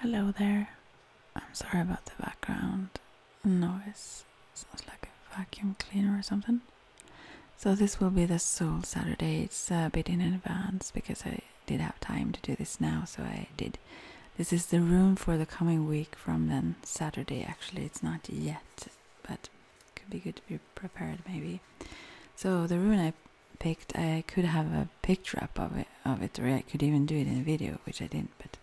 Hello there. I'm sorry about the background noise. Sounds like a vacuum cleaner or something. So this will be the sole Saturday. It's a bit in advance because I did have time to do this now, so I did. This is the room for the coming week from then Saturday. Actually, it's not yet, but could be good to be prepared maybe. So the room I picked, I could have a picture up of it of it, or I could even do it in a video, which I didn't, but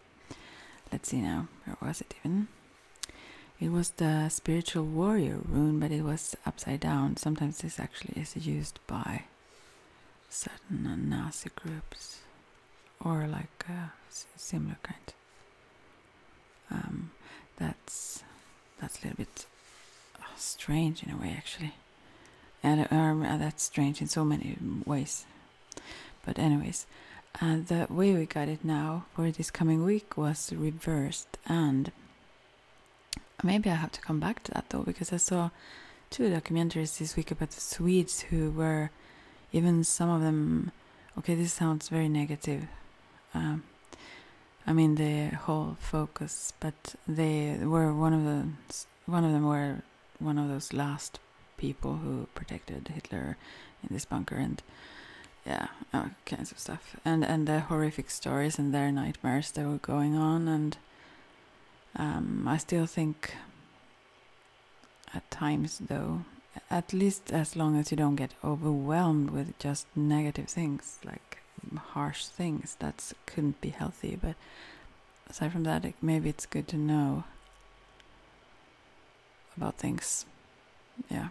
let's see now, where was it even? It was the spiritual warrior rune, but it was upside down. Sometimes this actually is used by certain Nazi groups or like a similar kind. Um, that's that's a little bit strange in a way, actually. And um, uh, that's strange in so many ways. But, anyways, uh, the way we got it now for this coming week was reversed. And maybe I have to come back to that though, because I saw two documentaries this week about the Swedes who were, even some of them, okay, this sounds very negative. Um, I mean, the whole focus, but they were one of the one of them were one of those last people who protected Hitler in this bunker and yeah, all kinds of stuff. And and the horrific stories and their nightmares that were going on and um, I still think at times though at least as long as you don't get overwhelmed with just negative things like harsh things that couldn't be healthy but aside from that, maybe it's good to know about things. Yeah.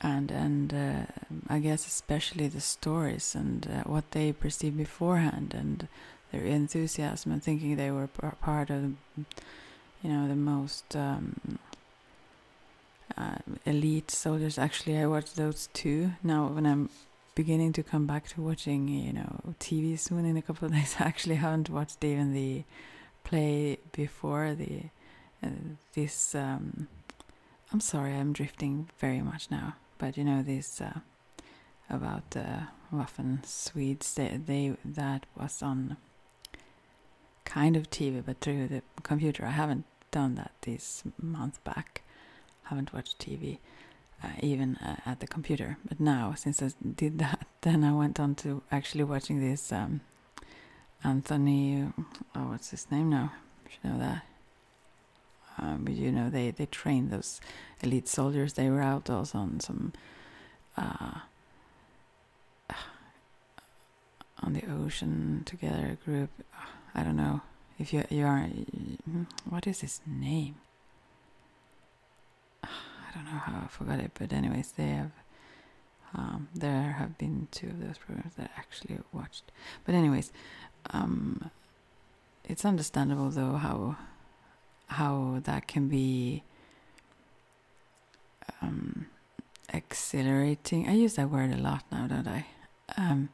And and uh, I guess especially the stories and uh, what they perceived beforehand and their enthusiasm and thinking they were part of, you know, the most um, uh, elite soldiers. Actually, I watched those two now when I'm beginning to come back to watching, you know, TV soon in a couple of days. I actually haven't watched even the play before the uh, this. Um, I'm sorry, I'm drifting very much now, but you know this uh, about the uh, Waffen Swedes. they that was on kind of TV, but through the computer. I haven't done that this month back haven't watched TV, uh, even uh, at the computer. But now, since I did that, then I went on to actually watching this um, Anthony. Oh, what's his name now? You know that. Um, you know, they they trained those elite soldiers. They were out also on some. Uh, on the ocean together group. I don't know if you you are. Hmm, what is his name? I don't know how I forgot it, but anyways, they have. Um, there have been two of those programs that I actually watched, but anyways, um, it's understandable though how how that can be um, exhilarating. I use that word a lot now, don't I? Um,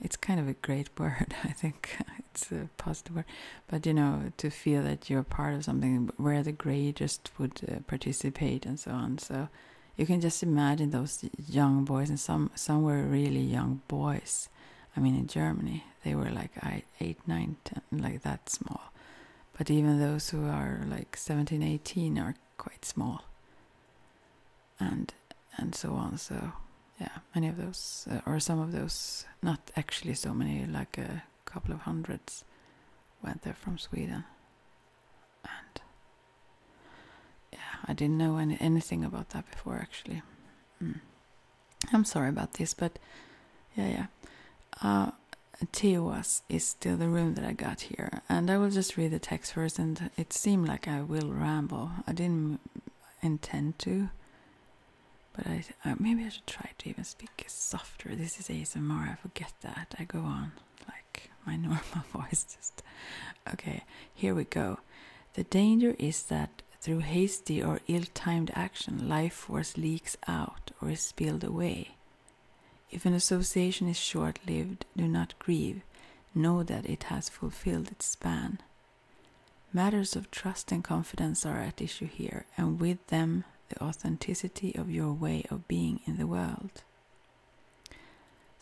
it's kind of a great word, I think it's a positive word, but you know, to feel that you're part of something where the greatest would uh, participate and so on. So you can just imagine those young boys, and some some were really young boys. I mean, in Germany, they were like eight, nine, ten, like that small. But even those who are like 17, 18 are quite small. And and so on. So yeah, many of those, uh, or some of those, not actually so many, like a couple of hundreds, went there from Sweden. And yeah, I didn't know any, anything about that before, actually. Mm. I'm sorry about this, but yeah, yeah. Uh, Teowas is still the room that I got here, and I will just read the text first. And it seemed like I will ramble. I didn't intend to, but I, uh, maybe I should try to even speak softer. This is ASMR. I forget that. I go on like my normal voice. Just okay. Here we go. The danger is that through hasty or ill-timed action, life force leaks out or is spilled away. If an association is short-lived, do not grieve. Know that it has fulfilled its span. Matters of trust and confidence are at issue here, and with them the authenticity of your way of being in the world.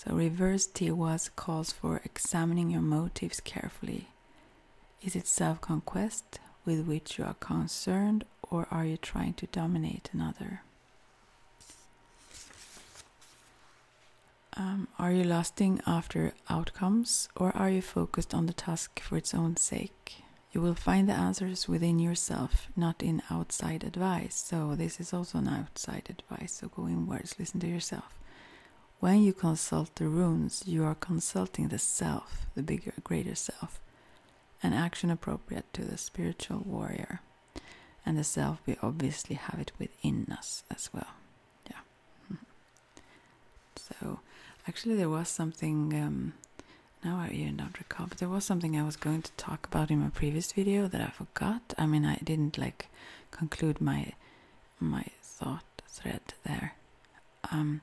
The reverse T was calls for examining your motives carefully. Is it self conquest with which you are concerned, or are you trying to dominate another? Um, are you lasting after outcomes or are you focused on the task for its own sake? You will find the answers within yourself, not in outside advice. So, this is also an outside advice. So, go inwards, listen to yourself. When you consult the runes, you are consulting the self, the bigger, greater self, an action appropriate to the spiritual warrior. And the self, we obviously have it within us as well. Yeah. Mm-hmm. So, actually, there was something. Um, now I even don't recall, but there was something I was going to talk about in my previous video that I forgot. I mean, I didn't like conclude my my thought thread there. Um,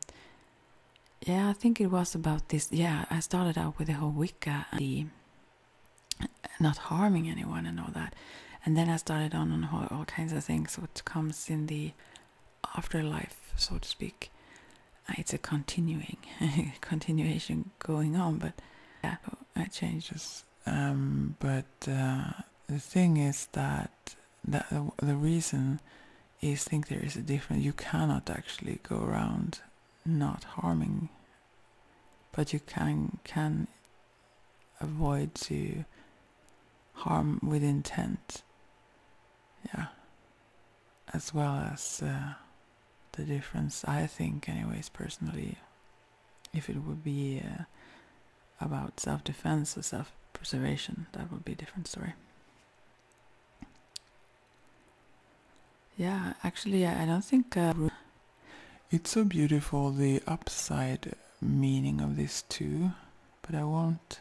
yeah, I think it was about this. Yeah, I started out with the whole Wicca and the not harming anyone and all that, and then I started on on all, kinds of things, which comes in the the afterlife, so to speak. Uh, it's a continuing continuation going on, but yeah, it changes. Um, but uh, the thing is that that the reason is think there is a difference. You cannot actually go around not harming, but you can can avoid to harm with intent. Yeah. As well as uh, the difference, I think, anyways, personally, if it would be uh, about self defense or self preservation, that would be a different story. Yeah, actually, I don't think. Uh, it's so beautiful the upside meaning of this too but I won't.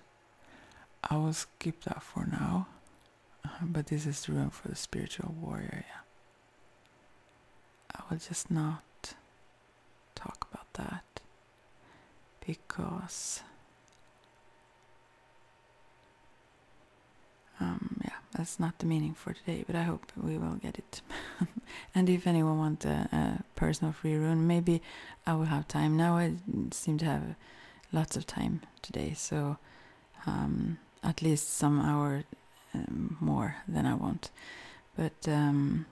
I will skip that for now. Uh-huh, but this is the room for the spiritual warrior, yeah. I will just not talk about that because um, yeah, that's not the meaning for today, but I hope we will get it. and if anyone wants a, a personal free run. Maybe I will have time. Now I seem to have lots of time today, so um, at least some hour um, more than I want. But um,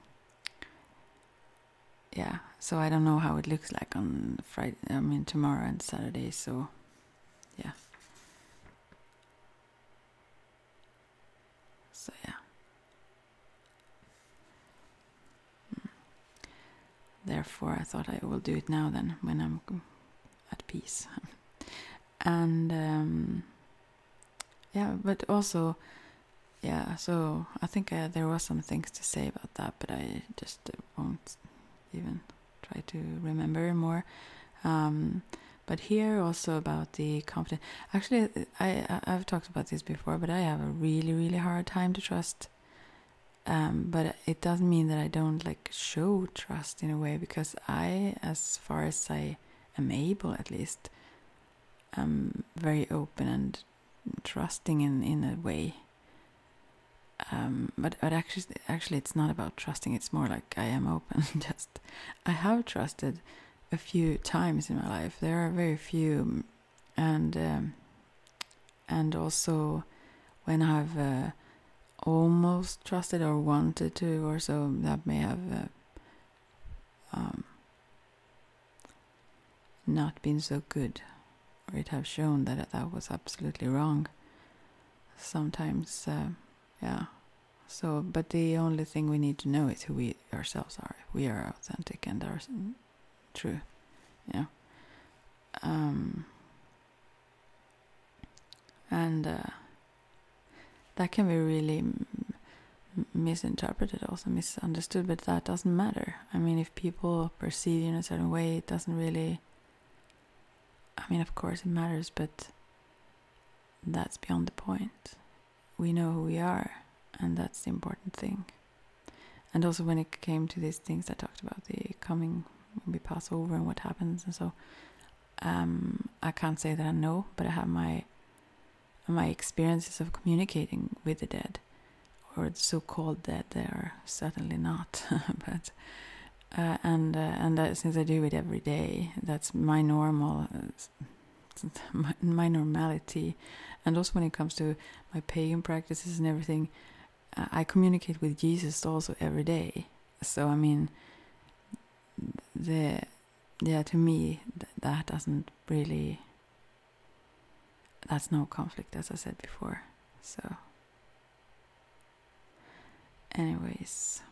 yeah, so I don't know how it looks like on Friday. I mean tomorrow and Saturday. So yeah. So yeah. Therefore, I thought I will do it now then, when I'm at peace. and um, yeah, but also, yeah, so I think uh, there were some things to say about that, but I just won't even try to remember more. Um, but here also about the confidence. Actually, I I've talked about this before, but I have a really, really hard time to trust. Um, but it doesn't mean that I don't like show trust in a way because I, as far as I am able, at least, am very open and trusting in in a way. Um, but but actually, actually, it's not about trusting. It's more like I am open. Just I have trusted a few times in my life. There are very few and um, and also when I've uh, almost trusted or wanted to, or so that may have uh, um, not been so good, or it have shown that that was absolutely wrong. Sometimes, uh, yeah. So, but the only thing we need to know is who we ourselves are. We are authentic and are mm, true. Yeah. Um, and uh, that can be really misinterpreted, also misunderstood, but that doesn't matter. I mean, if people perceive you in a certain way, it doesn't really. I mean, of course, it matters, but that's beyond the point we know who we are, and that's the important thing. And also, when it came to these things I talked about, the coming when we pass over and what happens, and so um, I can't say that I know, but I have my my experiences of communicating with the dead, or the so-called dead. They are certainly not, but. Uh, and uh, and since I do it every day, that's my normal uh, my, normality and also when it comes to my pagan practices and everything i communicate with jesus also every day so i mean the yeah to me that doesn't really that's no conflict as i said before so anyways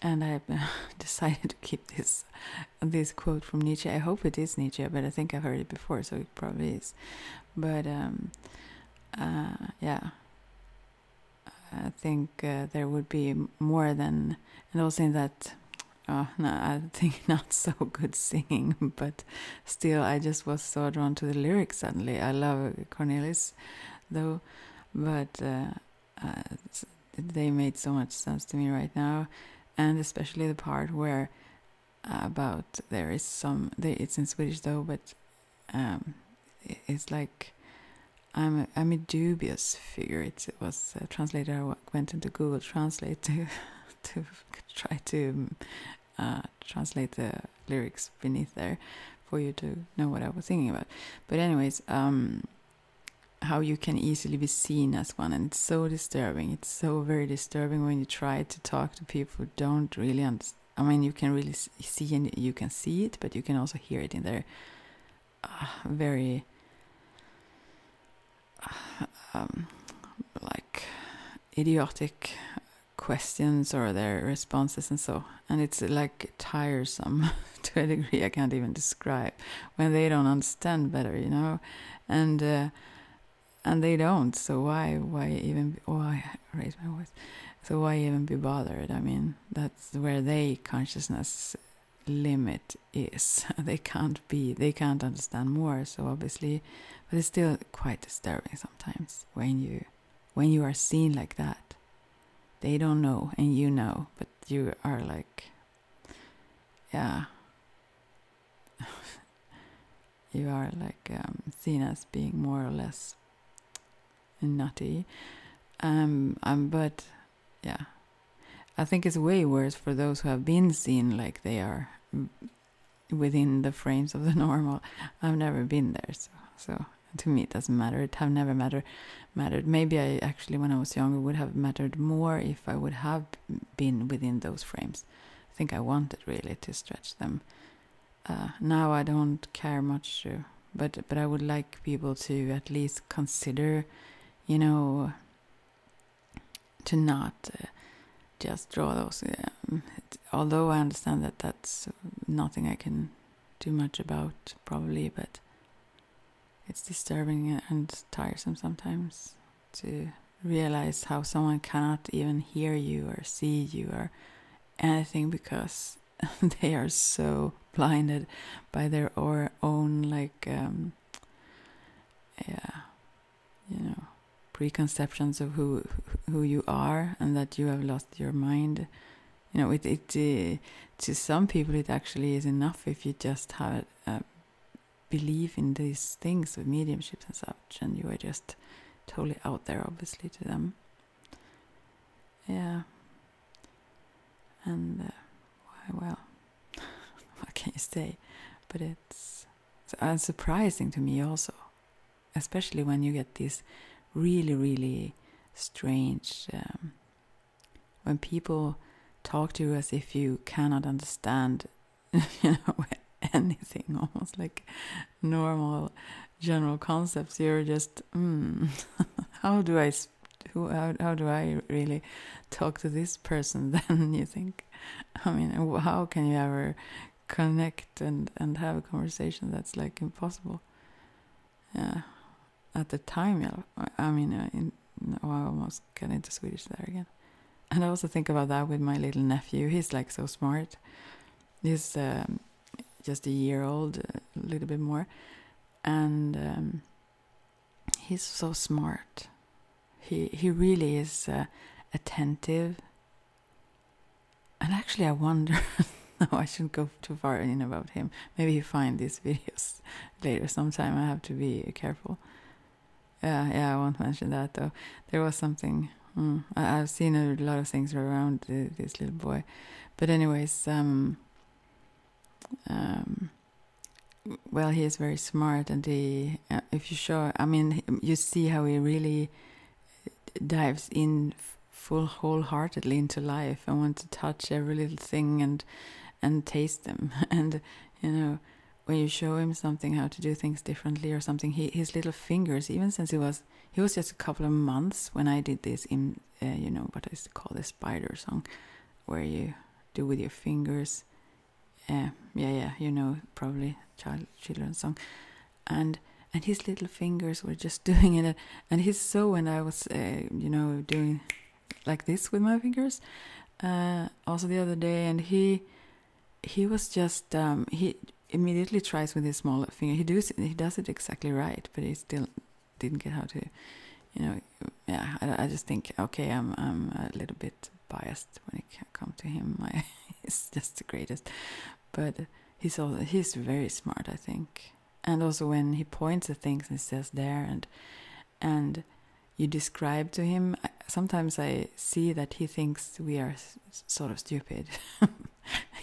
and i've decided to keep this this quote from Nietzsche. I hope it is Nietzsche, but I think I've heard it before, so it probably is. But um, uh, yeah, I think uh, there would be more than, and also in that. Oh, no, I think not so good singing, but still, I just was so drawn to the lyrics suddenly. I love Cornelius, though, but uh, they made so much sense to me right now, and especially the part where uh, about there is some. it's in Swedish though, but um, it's like I'm a, I'm a dubious figure. It, was uh, translated. I went into Google Translate to to try to uh, translate the lyrics beneath there for you to know what I was thinking about. But anyways, um, how you can easily be seen as one and it's so disturbing it's so very disturbing when you try to talk to people who don't really understand i mean you can really see and you can see it but you can also hear it in their uh, very uh, um, like idiotic questions or their responses and so and it's like tiresome to a degree i can't even describe when they don't understand better, you know, and uh, and they don't. So why why even oh I raise my voice. So why even be bothered? I mean, that's where they consciousness limit is. they can't be. They can't understand more. So obviously, but it's still quite disturbing sometimes when you when you are seen like that. They don't know and you know, but you are like yeah you are like um, seen as being more or less nutty um, um but yeah i think it's way worse for those who have been seen like they are mm, within the frames of the normal i've never been there so so to me it doesn't matter it have never matter mattered maybe i actually when I was younger would have mattered more if I would have been within those frames. I think I wanted really to stretch them. Uh, now I don't care much, uh, but but I would like people to at least consider, you know, to not uh, just draw those. Um, although I understand that that's uh, nothing I can do much about, probably, but it's disturbing and tiresome sometimes to realize how someone cannot even hear you or see you or anything because they are so blinded by their own like um, yeah you know preconceptions of who who you are and that you have lost your mind you know it it uh, to some people it actually is enough if you just have a um, believe in these things with mediumships and such, and you are just totally out there, obviously, to them. Yeah. And uh, well, what can you say? But it's uh, surprising to me also, especially when you get these really, really strange um, when people talk to you as if you cannot understand, anything, almost like normal general concepts. You're just, hmm, how do I, who, how, how do I really talk to this person? Then you think, I mean, how can you ever connect and and have a conversation that's like impossible? Yeah, at the time, I mean, uh, in oh, I almost get into Swedish there again. And I also think about that with my little nephew. He's like so smart. He's um, just a year old, a little bit more, and um, he's so smart. He he really is uh, attentive. And actually, I wonder. no, I shouldn't go too far in about him. Maybe he find these videos later sometime. I have to be careful. Yeah, yeah, I won't mention that though. There was something. Mm, I, have seen a lot of things around this little boy, but anyways, um, um, well, he is very smart, and he, uh, if you show, I mean, you see how he really uh, dives in full wholeheartedly into life and wants to touch every little thing and and taste them and you know when you show him something how to do things differently or something he, his little fingers even since he was he was just a couple of months when i did this in uh, you know what I used to call the spider song where you do with your fingers uh, yeah yeah you know probably child children's song and and his little fingers were just doing it and he saw when i was uh, you know doing like this with my fingers uh, also the other day, and he he was just um, he immediately tries with his smaller finger. He does it, he does it exactly right, but he still didn't get how to, you know. Yeah, I, just think okay, I'm a little bit biased when it comes to him. he's just the greatest, but he's also he's very smart, I think. And also when he points at things and says there and and you describe to him sometimes i see that he thinks we are sort of stupid i'm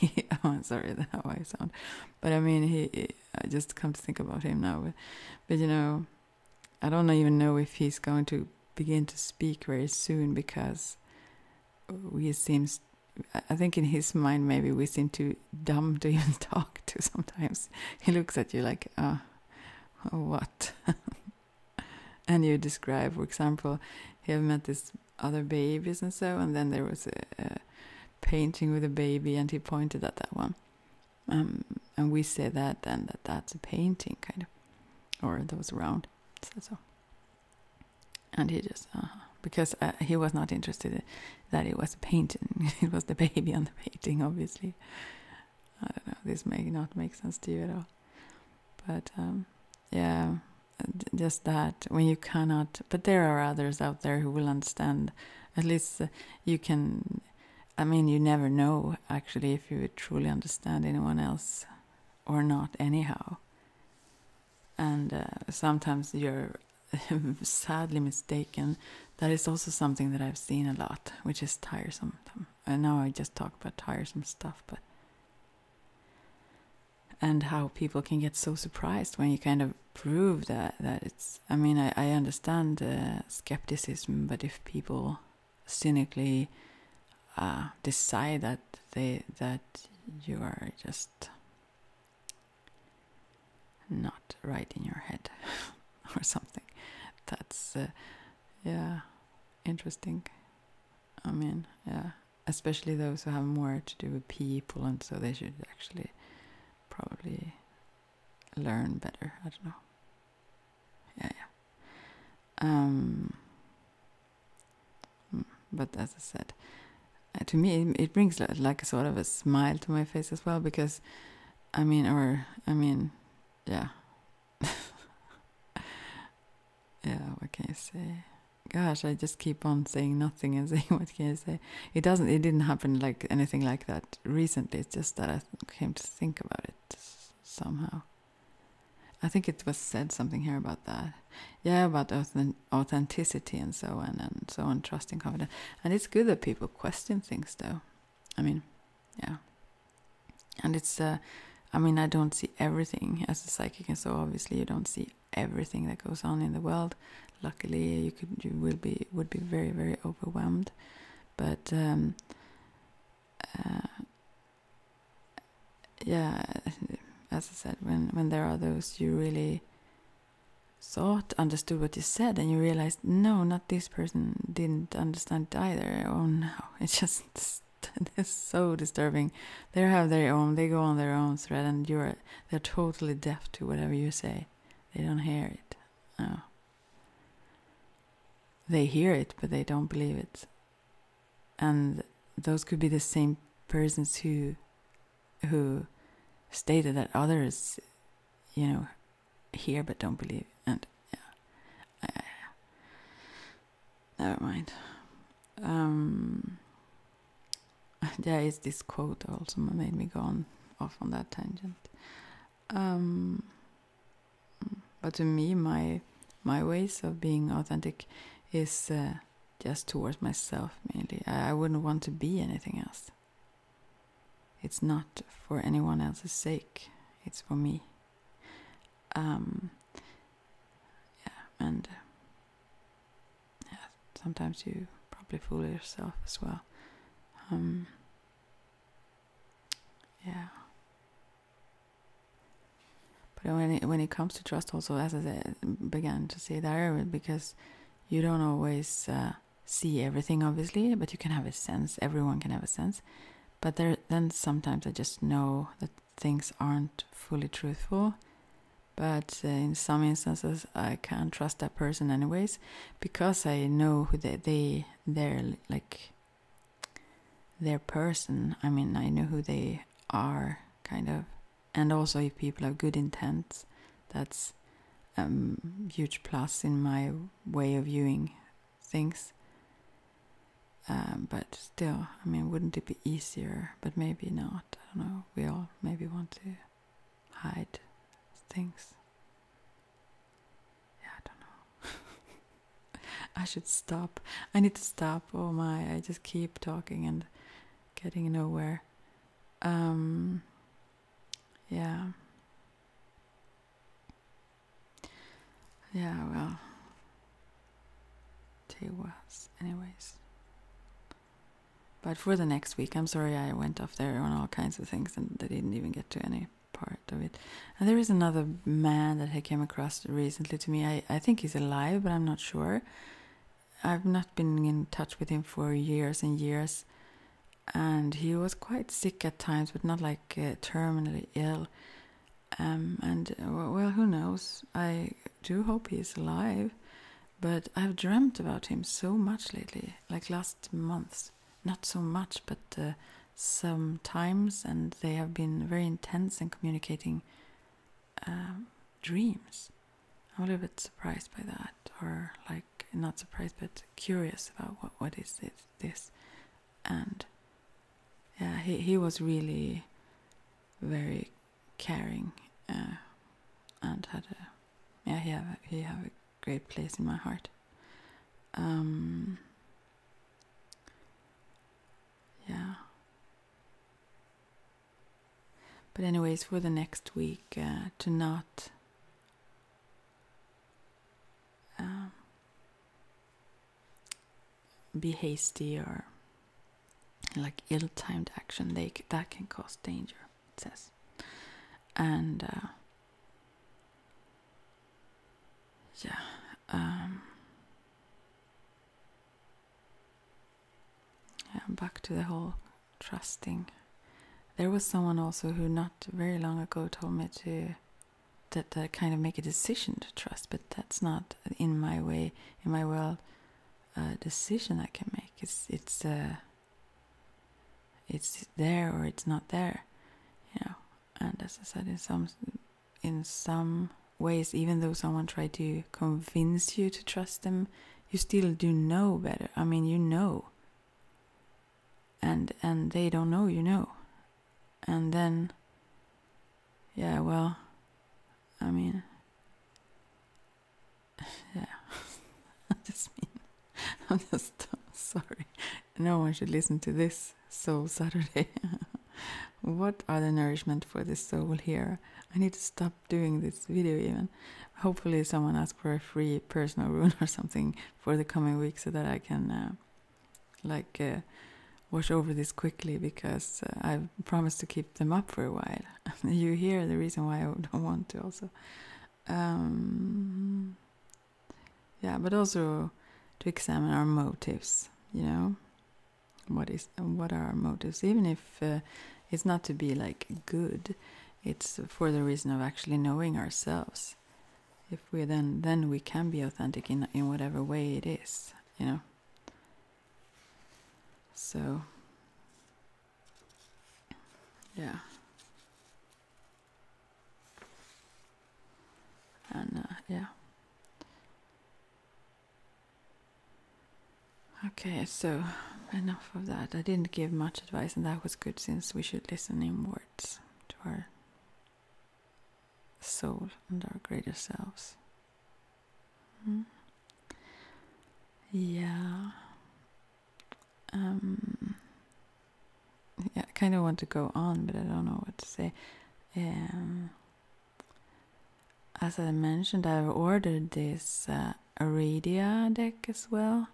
oh, sorry that how i sound but i mean he, i just come to think about him now but, you know i don't even know if he's going to begin to speak very soon because we seem. I think in his mind maybe we seem too dumb to even talk to sometimes. He looks at you like, uh, what? and you describe, for example, he met this other babies and so, and then there was a, painting with a baby, and he pointed at that one. Um, and we say that then that that's a painting, kind of, or that was round. So, so. and he just uh-huh. because uh, he was not interested that it was a painting, it was the baby on the painting, obviously. I don't know. This may not make sense to you at all, but um, yeah, just that when you cannot. But there are others out there who will understand. At least uh, you can. I mean, you never know actually if you truly understand anyone else or not. Anyhow, and uh, sometimes you're sadly mistaken. That is also something that I've seen a lot, which is tiresome. And now I just talk about tiresome stuff, but and how people can get so surprised when you kind of prove that that it's. I mean, I, I understand uh, skepticism, but if people cynically uh, decide that they that you are just not right in your head or something, that's. Uh, yeah interesting i mean yeah especially those who have more to do with people and so they should actually probably learn better i don't know yeah yeah um hmm, but as i said uh, to me it brings like a sort of a smile to my face as well because i mean or i mean yeah. yeah, what can I say? Gosh, I just keep on saying nothing and saying what can I say? It doesn't it didn't happen like anything like that recently. It's just that I came to think about it somehow. I think it was said something here about that. Yeah, about authenticity and so on and so on, trust and confidence. And it's good that people question things though. I mean, yeah. And it's, uh, I mean, I don't see everything as a psychic, and so obviously you don't see everything that goes on in the world. Luckily, you could, you will be, would be very, very overwhelmed. But um, uh, yeah, as I said, when when there are those, you really thought, understood what you said, and you realized, no, not this person didn't understand either. Oh no, it's just it's so disturbing. They have their own, they go on their own thread, and you're they're totally deaf to whatever you say. They don't hear it. No. They hear it, but they don't believe it. And those could be the same persons who who stated that others, you know, here, but don't believe, and yeah, uh, never mind. Um, there is this quote also made me go on off on that tangent. Um, but to me, my my ways of being authentic is uh, just towards myself mainly. I wouldn't want to be anything else. It's not for anyone else's sake, it's for me. Um, yeah, and yeah, sometimes you probably fool yourself as well. Um, yeah. But when it, when it comes to trust, also as I began to say there, because you don't always uh, see everything obviously but you can have a sense everyone can have a sense but there then sometimes i just know that things aren't fully truthful but uh, in some instances i can't trust that person anyways because i know who they, they are like their person i mean i know who they are kind of and also if people have good intent that's um huge plus in my way of viewing things. Um, but still, I mean, wouldn't it be easier? But maybe not. I don't know. We all maybe want to hide things. Yeah, I don't know. I should stop. I need to stop. Oh my, I just keep talking and getting nowhere. Um, yeah. Yeah, well. two was, anyways. But for the next week, I'm sorry I went off there on all kinds of things and I didn't even get to any part of it. And there is another man that I came across recently to me. I, I think he's alive, but I'm not sure. I've not been in touch with him for years and years and he was quite sick at times, but not like uh, terminally ill. Um, and uh, well, who knows? I do hope he's alive, but I've dreamt about him so much lately, like last months. Not so much, but uh, sometimes, and they have been very intense in communicating um, dreams. I'm a little bit surprised by that, or like not surprised, but curious about what, what is this this and yeah he he was really very caring uh, and had a yeah he have a, he have a great place in my heart um yeah but anyways for the next week uh, to not um, be hasty or like ill-timed action they that can cause danger it says and uh, yeah um, yeah back to the whole trusting there was someone also who not very long ago told me to that kind of make a decision to trust, but that's not in my way, in my world, a decision I can make. It's it's uh, it's there or it's not there, you know. And as I said, in some in some ways, even though someone tried to convince you to trust them, you still do know better. I mean, you know and and they don't know you know and then yeah well i mean yeah i just mean i'm just sorry no one should listen to this soul saturday what other nourishment for the soul here i need to stop doing this video even hopefully someone asks for a free personal rune or something for the coming week so that i can uh, like uh, wash over this quickly because uh, I've promised to keep them up for a while. you hear the reason why I don't want to also. Um, yeah, but also to examine our motives. You know, what is what are our motives? Even if uh, it's not to be like good, it's for the reason of actually knowing ourselves if we then then we can be authentic in in whatever way it is, you know. So yeah. And uh, yeah. Okay, so enough of that. I didn't give much advice, and that was good since we should listen inwards to our soul and our greater selves. Hmm? Yeah. Um, yeah, I kind of want to go on, but I don't know what to say. Um, as I mentioned, I've ordered this uh, Aradia deck as well.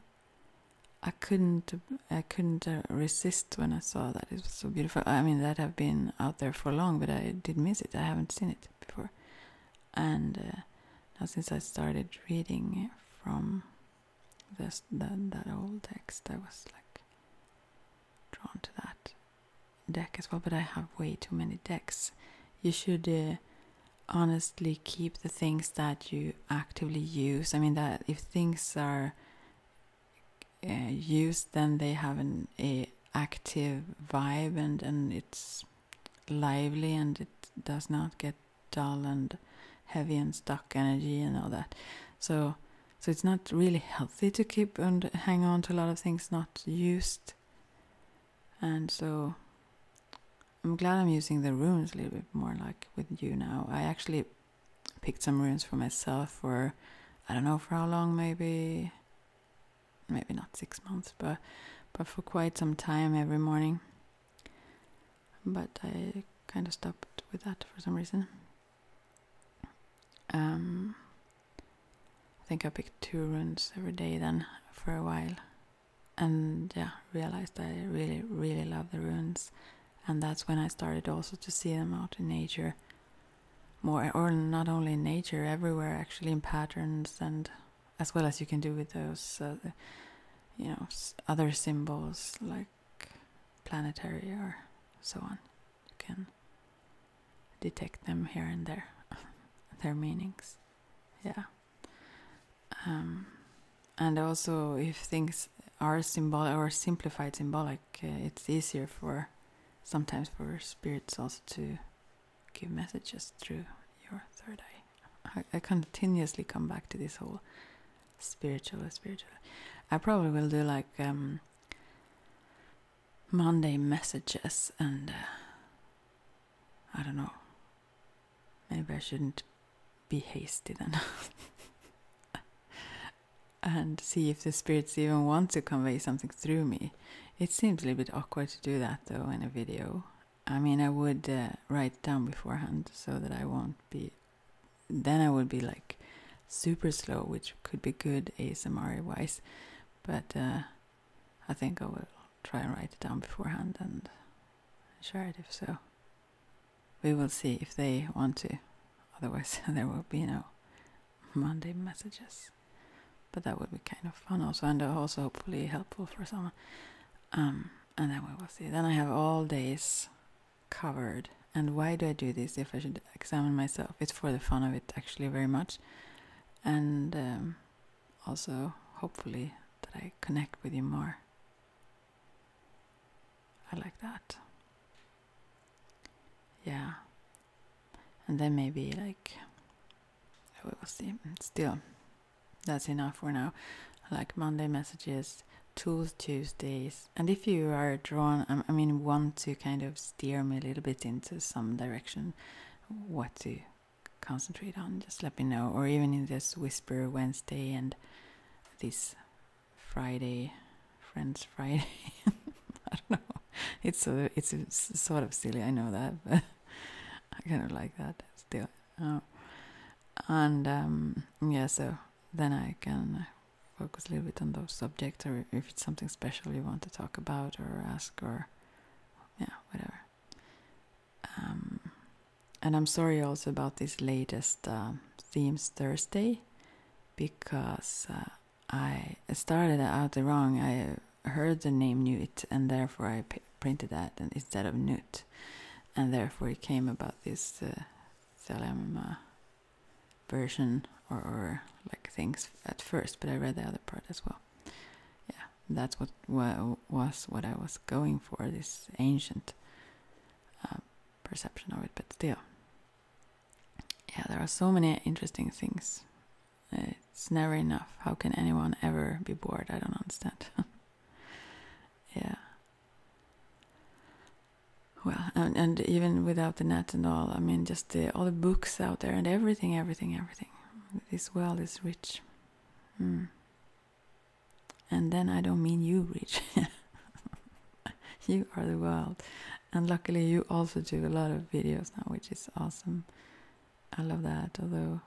I couldn't I couldn't uh, resist when I saw that it was so beautiful. I mean that have been out there for long, but I did miss it. I haven't seen it before, and uh, now since I started reading from this that that old text, I was like drawn to that deck as well. But I have way too many decks. You should. Uh, honestly keep the things that you actively use i mean that if things are uh, eh, used, then they have an a active vibe and and it's lively and it does not get dull and heavy and stuck energy and all that. So so it's not really healthy to keep and hang on to a lot of things not used. And so I'm glad I'm using the runes a little bit more like with you now. I actually picked some runes for myself for I don't know for how long, maybe maybe not six months, but but for quite some time every morning. But I kind of stopped with that for some reason. Um, I think I picked two runes every day then for a while, and yeah, realized I really really love the runes and that's when I started also to see them out in nature more or not only in nature everywhere actually in patterns and as well as you can do with those uh, you know other symbols like planetary or so on you can detect them here and there their meanings yeah um, and also if things are symbolic or simplified symbolic, uh, it's easier for sometimes for spirits also to give messages through your third eye. I, continuously come back to this whole spiritual, spiritual. I probably will do like Monday um, messages and uh, I don't know. Maybe I shouldn't be hasty then. and see if the spirits even want to convey something through me. It seems a little bit awkward to do that though in a video. I mean, I would uh, write down beforehand so that I won't be. Then I would be like super slow, which could be good ASMR wise. But uh, I think I will try and write it down beforehand and share it if so we will see if they want to. Otherwise, there will be no Monday messages. But that would be kind of fun also, and also hopefully helpful for someone. Um, and then we will see. Then I have all days covered. And why do I do this if I should examine myself? It's for the fun of it, actually, very much. And um, also, hopefully, that I connect with you more I like that. Yeah. And then maybe like we will see. Mm, still, that's enough for now. I like Monday messages, tools Tuesdays, and if you are drawn, I mean, want to kind of steer me a little bit into some direction, what to concentrate on, just let me know. Or even in this Whisper Wednesday and this Friday, Friends Friday. I don't know. It's so it's, sort of silly. I know that, but I kind of like that still. Oh. and um, yeah, so then I can focus a little bit on those subjects, or if it's something special you want to talk about or ask, or yeah, whatever. Um, and I'm sorry also about this latest uh, themes Thursday because uh, I started out wrong. I heard the name Newt, and therefore I printed that instead of Newt, and therefore it came about this uh, uh, version or, or like things at first. But I read the other part as well. Yeah, that's what was what I was going for. This ancient. Uh, perception of it, but still. Yeah, there are so many interesting things. It's never enough. How can anyone ever be bored? I don't understand. yeah. Well, and, and, even without the net and all, I mean, just all the books out there and everything, everything, everything. This world is rich. Hmm and then I don't mean you, reach. you are the world, and luckily you also do a lot of videos now, which is awesome. I love that, although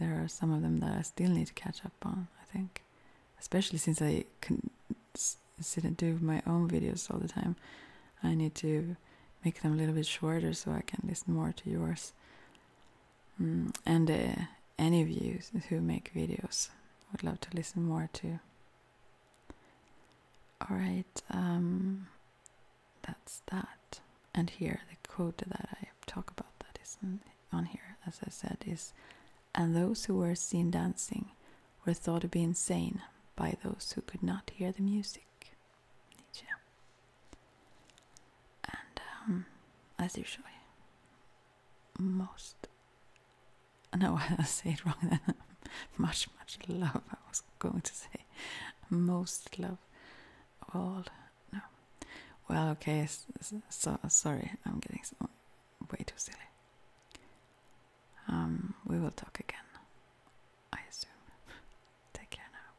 there are some of them that I still need to catch up on. I think, especially since I can sit and do my own videos all the time, I need to make them a little bit shorter so I can listen more to yours. Mm, and uh, any views who make videos. Would love to listen more to. All right, um, that's that. And here the quote that I talk about that is on here, as I said, is, and those who were seen dancing were thought to be insane by those who could not hear the music. Nietzsche. And um, as usually most no, I said it wrong then. much, much love. I was going to say most love of all. No. Well, okay. So sorry, I'm getting way too silly. Um, we will talk again. I assume. Take care now.